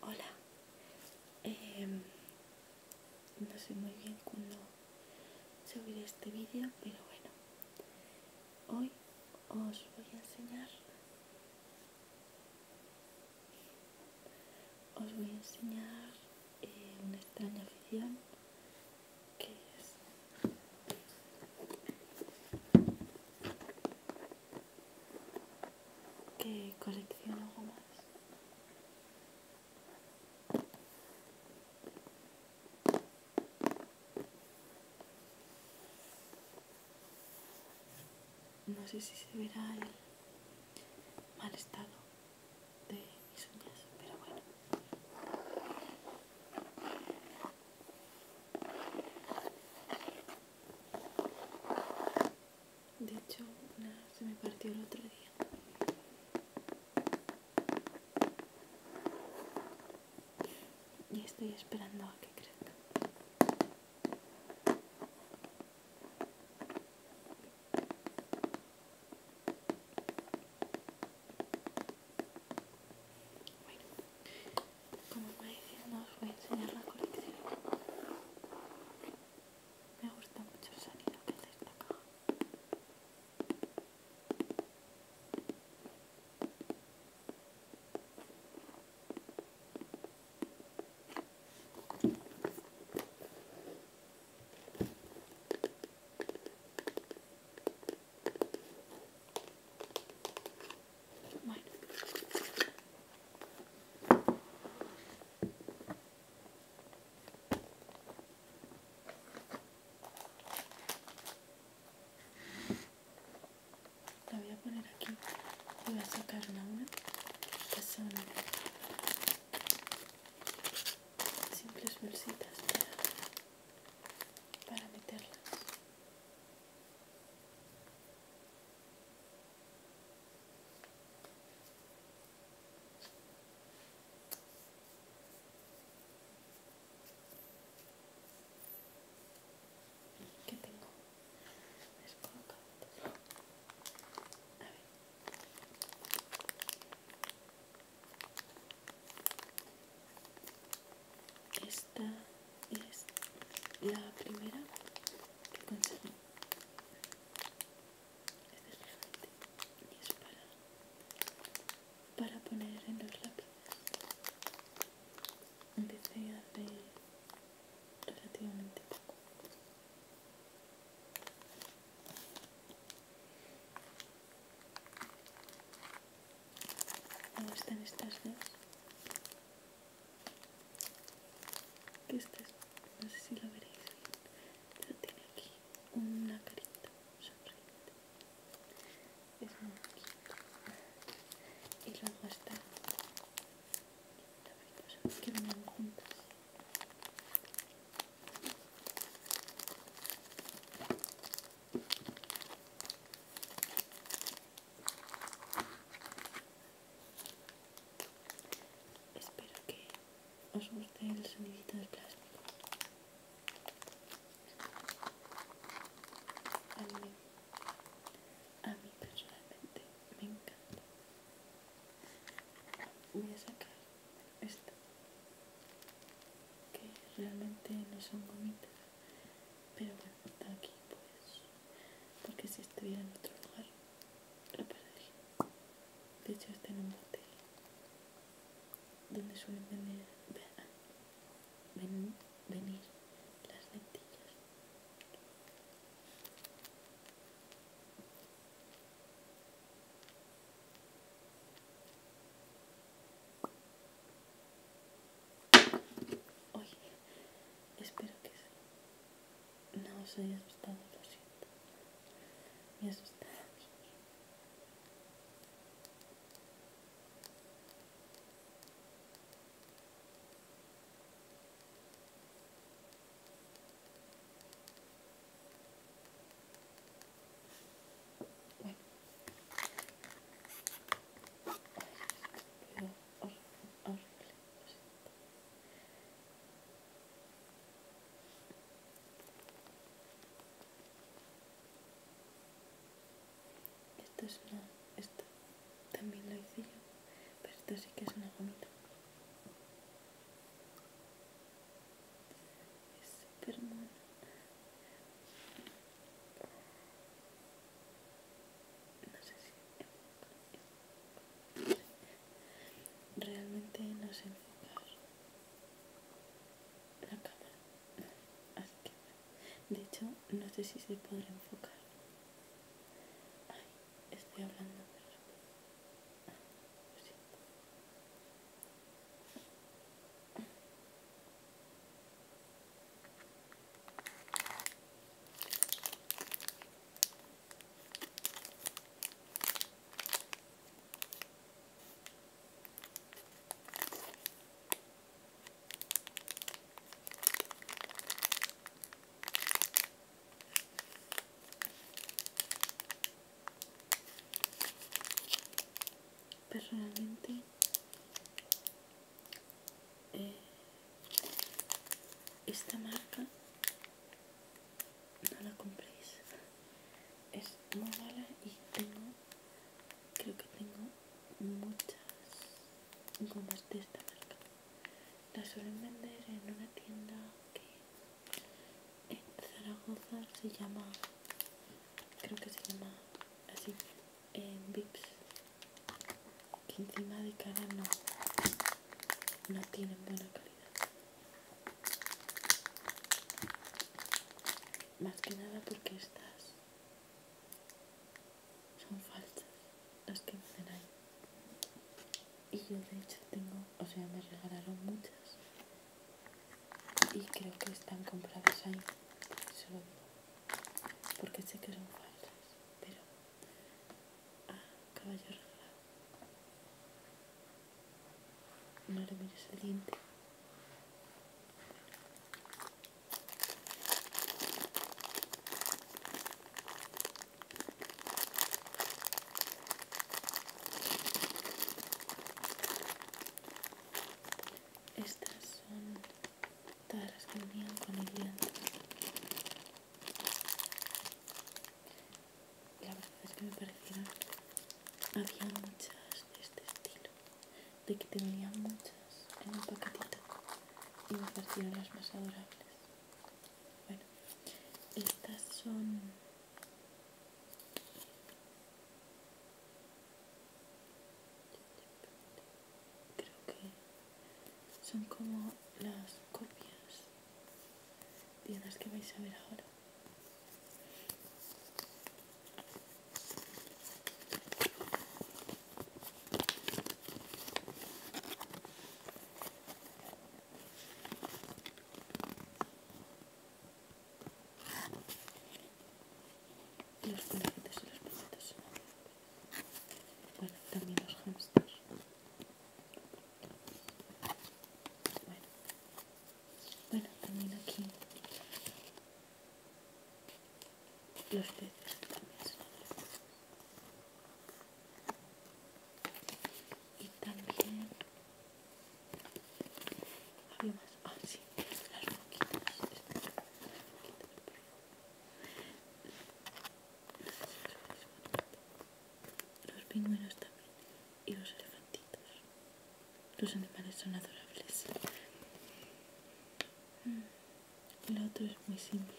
Hola, em, no sé muy bien cuándo subiré este vídeo, pero bueno, hoy os voy a enseñar, os voy a enseñar eh, una extraña ficción que es que colecciono más No sé si se verá el mal estado de mis uñas, pero bueno. De hecho, se me partió el otro día. Y estoy esperando a que crezca como me no os voy a enseñar la colección me gusta mucho el sonido que hace esta caja bueno. La voy a poner aquí voy a sacar una una que simples bolsitas para meterlas. Qué tengo es a ver esta es la primera que conseguí es es y es para, poner en los lápices. Empecé hace relativamente poco. cómo están estas dos que esta es, no sé si la veréis bien, pero tiene aquí una carita sonriente. Es muy bonito. Y luego está la mariposa que vienen juntas. Espero que os guste el sonidito del plástico. A mí, a personalmente me encanta. Voy a sacar esto, que realmente no son bonitas, pero bueno, está aquí pues porque si estuviera en otro lugar lo De hecho está en un motel donde suelen venir, venir las lentillas. Oye, espero que sí. No, soy asustado, lo siento. Me asusta a mí. Bueno. Pero horrible, lo siento. Esta es una... Esta también lo hice yo, pero esta sí que es una gomita. Es súper No sé si realmente no sé enfocar la cámara así que de hecho no sé si se podrá enfocar Ay, estoy hablando de ah, lo siento. Personalmente eh, esta marca no la compréis es muy mala y tengo creo que tengo muchas gomas de esta marca la suelen vender en una tienda que en Zaragoza se llama creo que se llama así en Vips que encima de cara no no tienen buena calidad más que nada porque estas son falsas las que venden ahí y yo de hecho tengo o sea me regalaron muchas y creo que están compradas ahí solo porque sé que son falsas pero Ah, caballo No le mires diente. Estas son todas las que venían con el diente la verdad es que me parecieron había muchas de este estilo de que tenía muchas en un paquetito y me parecieron las más adorables bueno estas son creo que son como las copias ¿Días que vais a ver ahora. Los conejitos y los perritos. Bueno, también los hamsters. Bueno, también aquí los peces también son hermosos. Y también había más. Ah, oh, sí, las roquitas. Este, las roquitas pero... No sé si los pingüinos también y los elefantitos. Los animales son adorables. Mm. Lo otro es muy simple.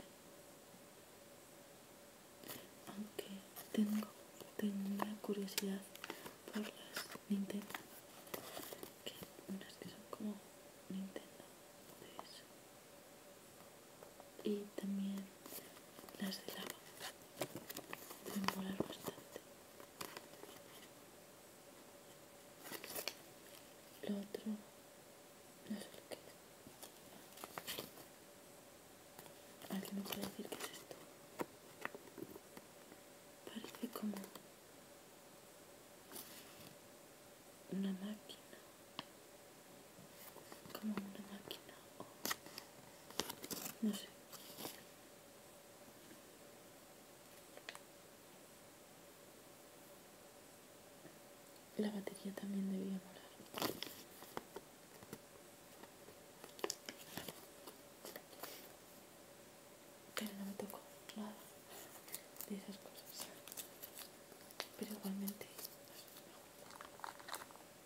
Aunque tengo una curiosidad por las Nintendo. Que unas que son como Nintendo y también las de lava de volar bastante lo otro no sé lo que es alguien me puede decir qué es esto parece como una máquina como una máquina o no sé la batería también debía morar. pero no me tocó nada de esas cosas pero igualmente pues,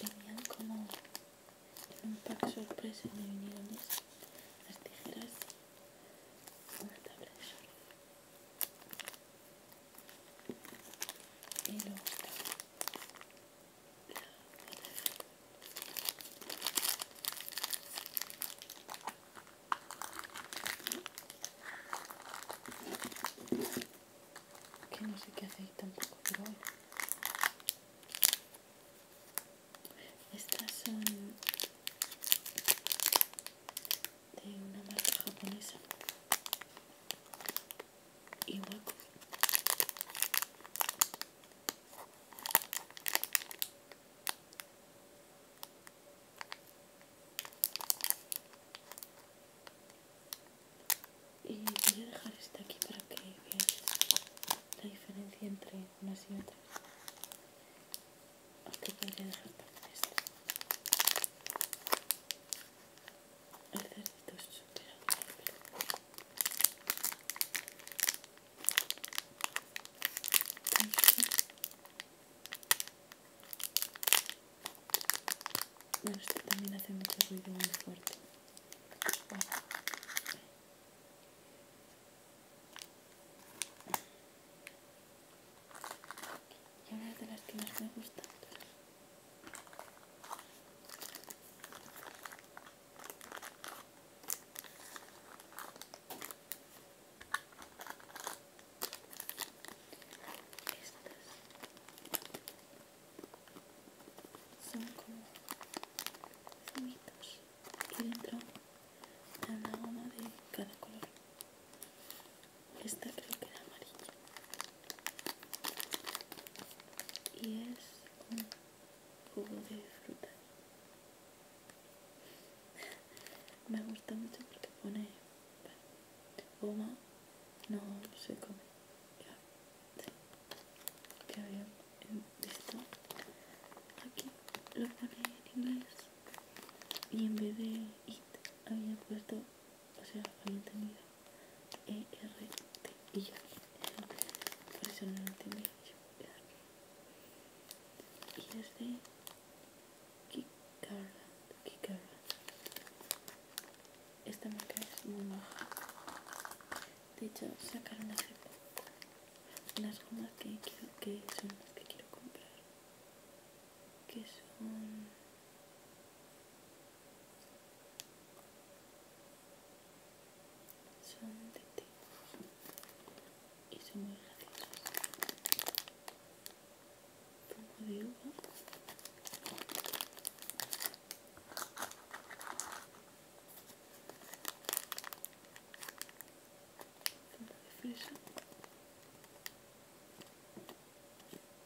Venían como un pack sorpresa me vinieron esas, las tijeras, una tabla de surf y que no sé qué hace ahí tampoco pero estas son de una marca japonesa Iwako y voy a dejar esta aquí para que veáis la diferencia entre unas y otras Aquí este podría dejar también esto. El cerdito es súper agradable. este también hace mucho ruido muy fuerte y una de las que más me gustan. Estas son como zumitos que entran en una goma de cada color esta creo que era amarilla y es como jugo de fruta me gusta mucho porque pone goma no se come que había visto aquí lo pone en inglés y en vez de it había puesto o sea, había entendido ERT y ya, por eso no lo entendí. Y de esta marca es muy baja. De hecho, sacaron hace poco las gomas que, quiero, que son las que quiero comprar, que son. Son de té y son muy graciosos. de uva. de fresa.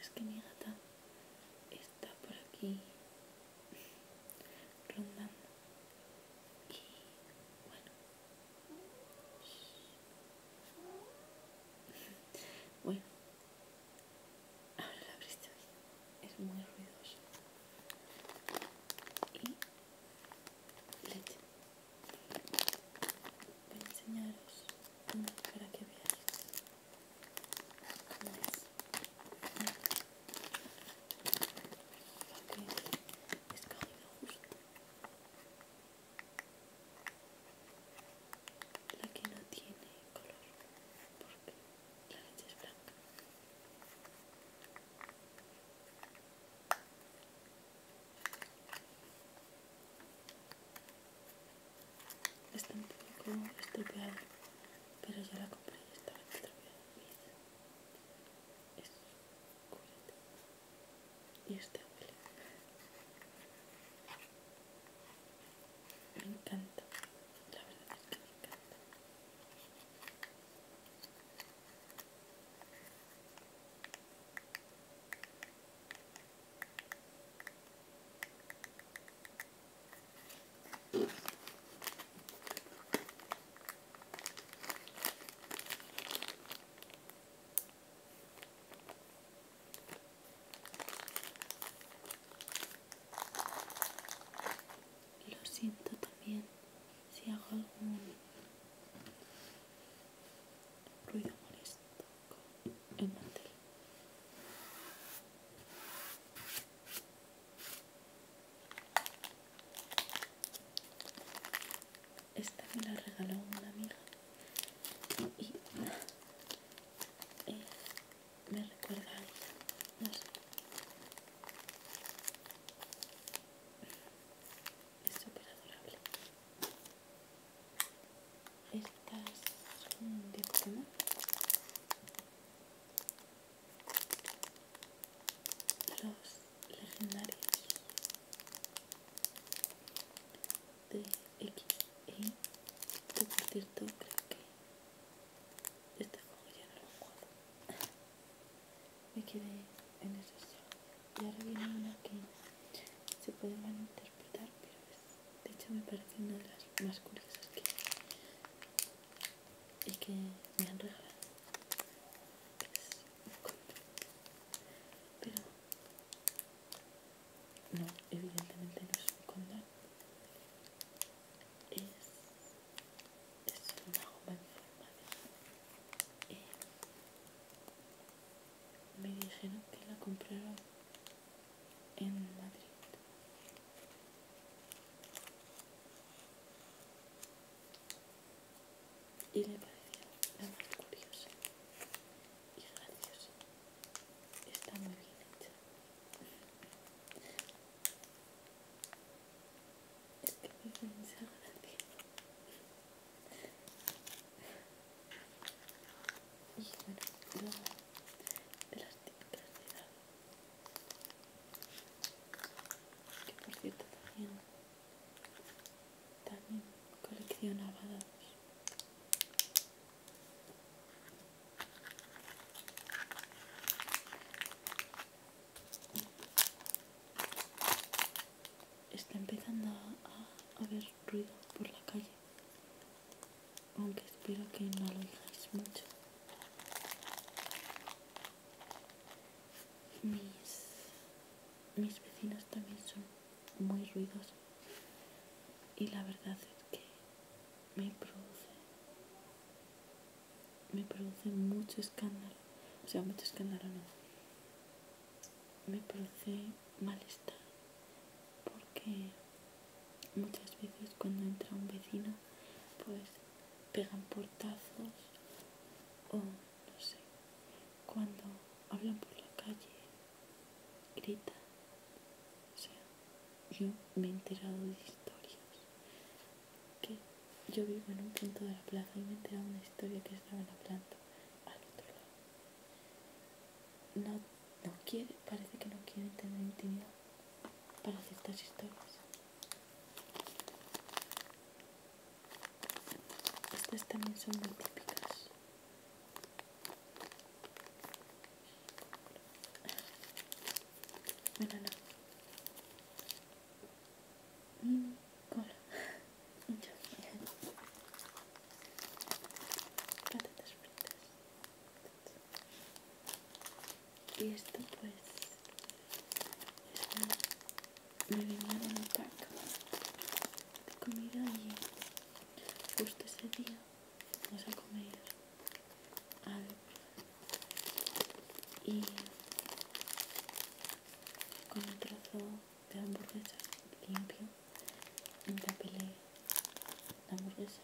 Es que mi gata está por aquí rondando. Y bueno. Bueno. Ahora la abriste Es muy ruidosa. Y leche. Voy a enseñaros una para que veáis cómo es. es justo. La que no tiene color, porque la leche es blanca. Está un poco estropeado, pero yo la compré y estaba estropeada. Es culete. Y este huele. Me encanta. La verdad es que me encanta. Lo siento también si hago algún ruido molesto el Esta me la regaló una amiga y eh, me recuerda a ella, no sé. Es súper adorable estas son de Pokémon los legendarios de XE que por cierto creo que este juego ya no lo juego me quedé en eso y ahora viene una que se puede malinterpretar pero es de hecho me parece una de las más curiosas que y que me han regalado pues, pero no, evidentemente no es un condón es, es una goma de forma de me dijeron que la compraron en Madrid. Y le parecía la más curiosa y graciosa. Está muy bien hecha. Es que me y bueno, las Que por cierto también, coleccionaba dados. Está empezando a, a ver ruido por la calle, aunque espero que no lo oigáis mucho. Mis, mis vecinos también son muy ruidosos y la verdad es que me produce me produce mucho escándalo o sea mucho escándalo no me produce malestar porque muchas veces cuando entra un vecino pues pegan portazos o no sé cuando hablan por la calle gritan o sea yo me he enterado de historias que yo vivo en un punto de la plaza y me he enterado de una historia que estaba en la planta al otro lado no no quiere, parece que no quiere tener intimidad para ciertas historias. Estas también son muy típicas. Bueno, no. Mm, cola. Muchas gracias. Patatas fritas y esto pues me venía en un pack de comida y justo ese día vamos a comer algo y con un trozo de hamburguesas limpio en la pelea la hamburguesa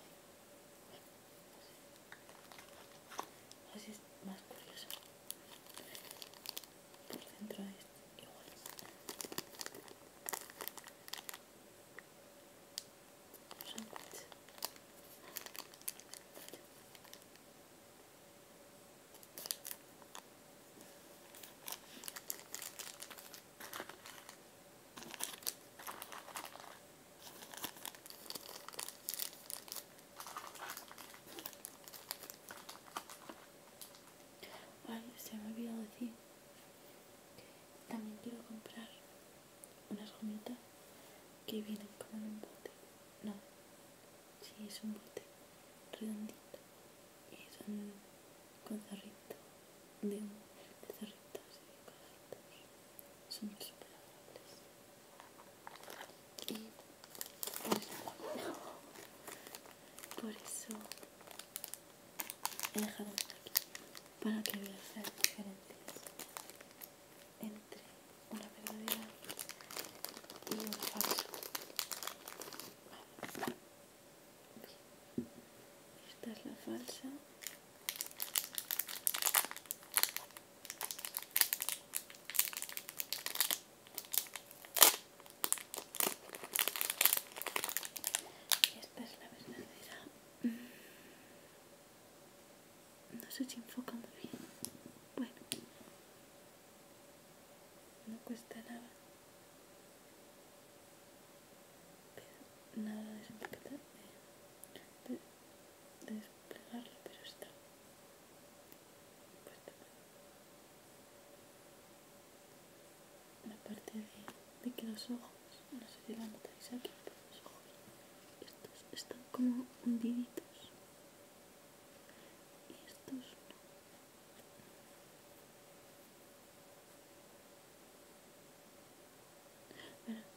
así es más curioso por dentro es igual Chocolate. Ay, se me ha olvidado decir. También quiero comprar unas gomitas que vienen con un bote. No, sí, es un bote redondito con cerrito de, de cerritos y de cojitos son muy superables y por eso, por eso he dejado esto aquí para que veas las diferencias entre una verdadera y una falsa esta es la falsa. esta es la verdadera. Mm. No se si enfoca muy bien. Bueno, no cuesta nada nada de de, de desplegarlo, pero pues está mal la parte de, de que los ojos, no sé si van notáis aquí, pero los ojos estos están como hundiditos y estos no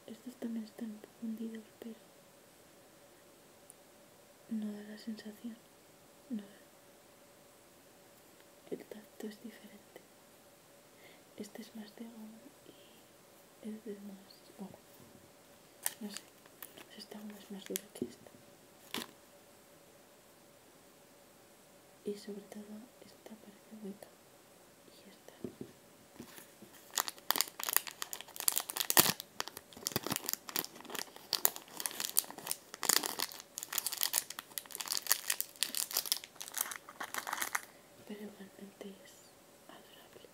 estos también están un poco hundidos, pero no da la sensación. No El tacto es diferente. Este es más de agua y este es más No sé. este agua es más duro que esta. Y sobre todo esta parece hueca pero igualmente es adorable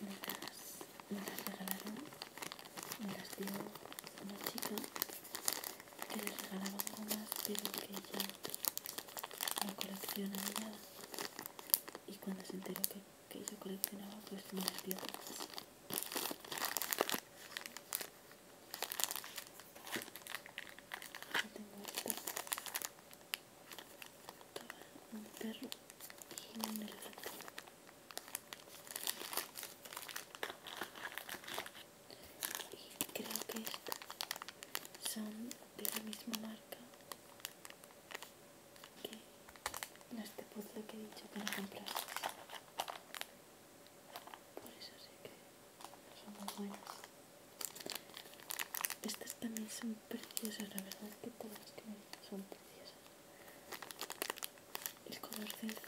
me las, me las regalaron me las dio una chica que les regalaban gomas pero que ella no coleccionaba ni y cuando se enteró que, que yo coleccionaba pues me las tengo un perro y y creo que estas son de la misma marca que este puzzle que he dicho que no comprar por eso sí que son muy buenas estas también son preciosas la verdad es que todas que son preciosas el color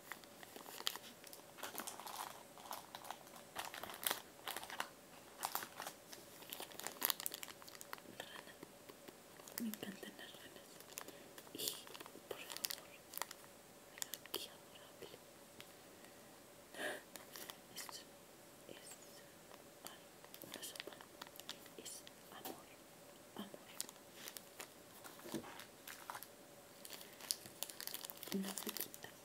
Rana. Me encantan las ranas. Y por favor, mira qué adorable. Esto es ay, una sopa. Es amor, amor. Una frutita.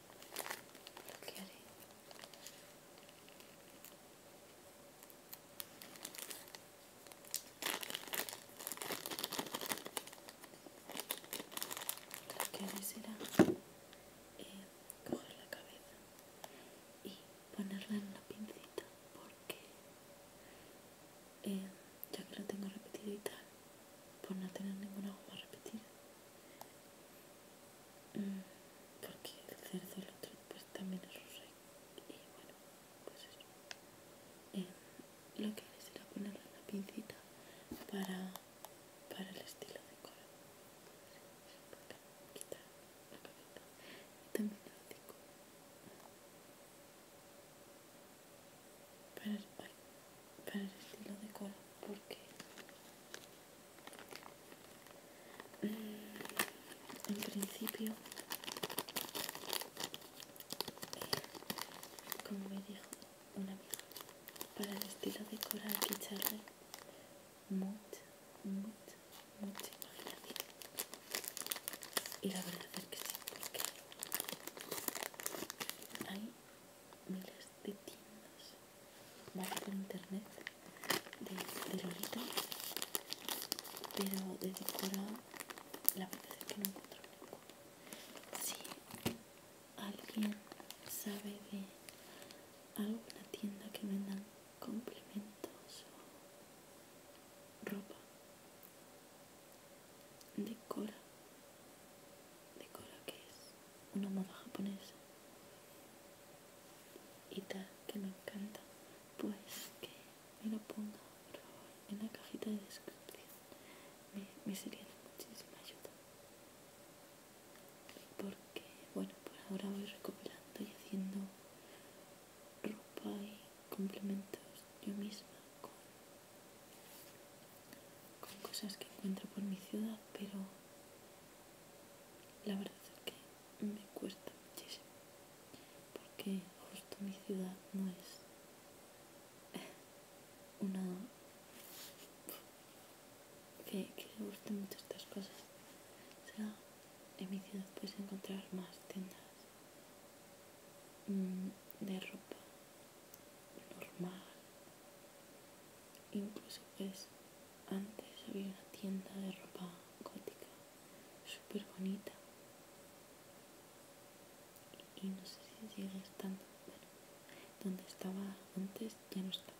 lo que haré será eh, coger la cabeza y ponerla en una pincita porque eh, ya que la tengo repetida y tal por no tener ninguna goma repetida Mm, porque el cerdo el otro pues también es ruso y, y bueno pues eso em, lo que haré será ponerle una pincita para, el estilo de cola quitar la cabeza y también el hocico para, ay, para el estilo de cola porque mm, en principio como me dijo una amiga para el estilo de cola hay que echarle mucha mucha mucha imaginación y la verdad es que sí porque hay miles de tiendas va por internet de, Lolita pero de Decora la verdad es que no encuentro ninguno Si alguien sabe de alguna tienda que vendan complementos o ropa, decora, decora que es una moda japonesa y tal que me encanta pues que me lo ponga por favor en la cajita de descripción me, sería de muchísima ayuda porque bueno por pues ahora voy recopilando y haciendo ropa y complementos yo misma con cosas que encuentro por mi ciudad pero la verdad es que me cuesta muchísimo, porque justo mi ciudad no es una que, que le gusten mucho estas cosas. sea, en mi ciudad puedes encontrar más tiendas mm, de ropa normal. Incluso es antes había una tienda de ropa gótica súper bonita. Y, no sé si sigue estando, pero donde estaba antes ya no está.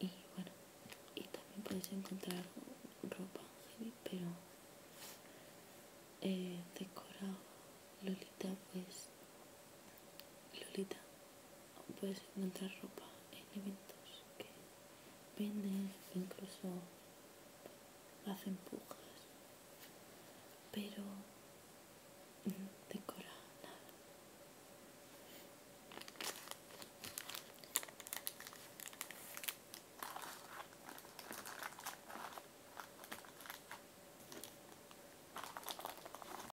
Y bueno, y también puedes encontrar ropa pero eh, decorado. Lolita, pues, Lolita puedes encontrar ropa en eventos que venden, incluso hacen pujas, pero no mm, decora nada.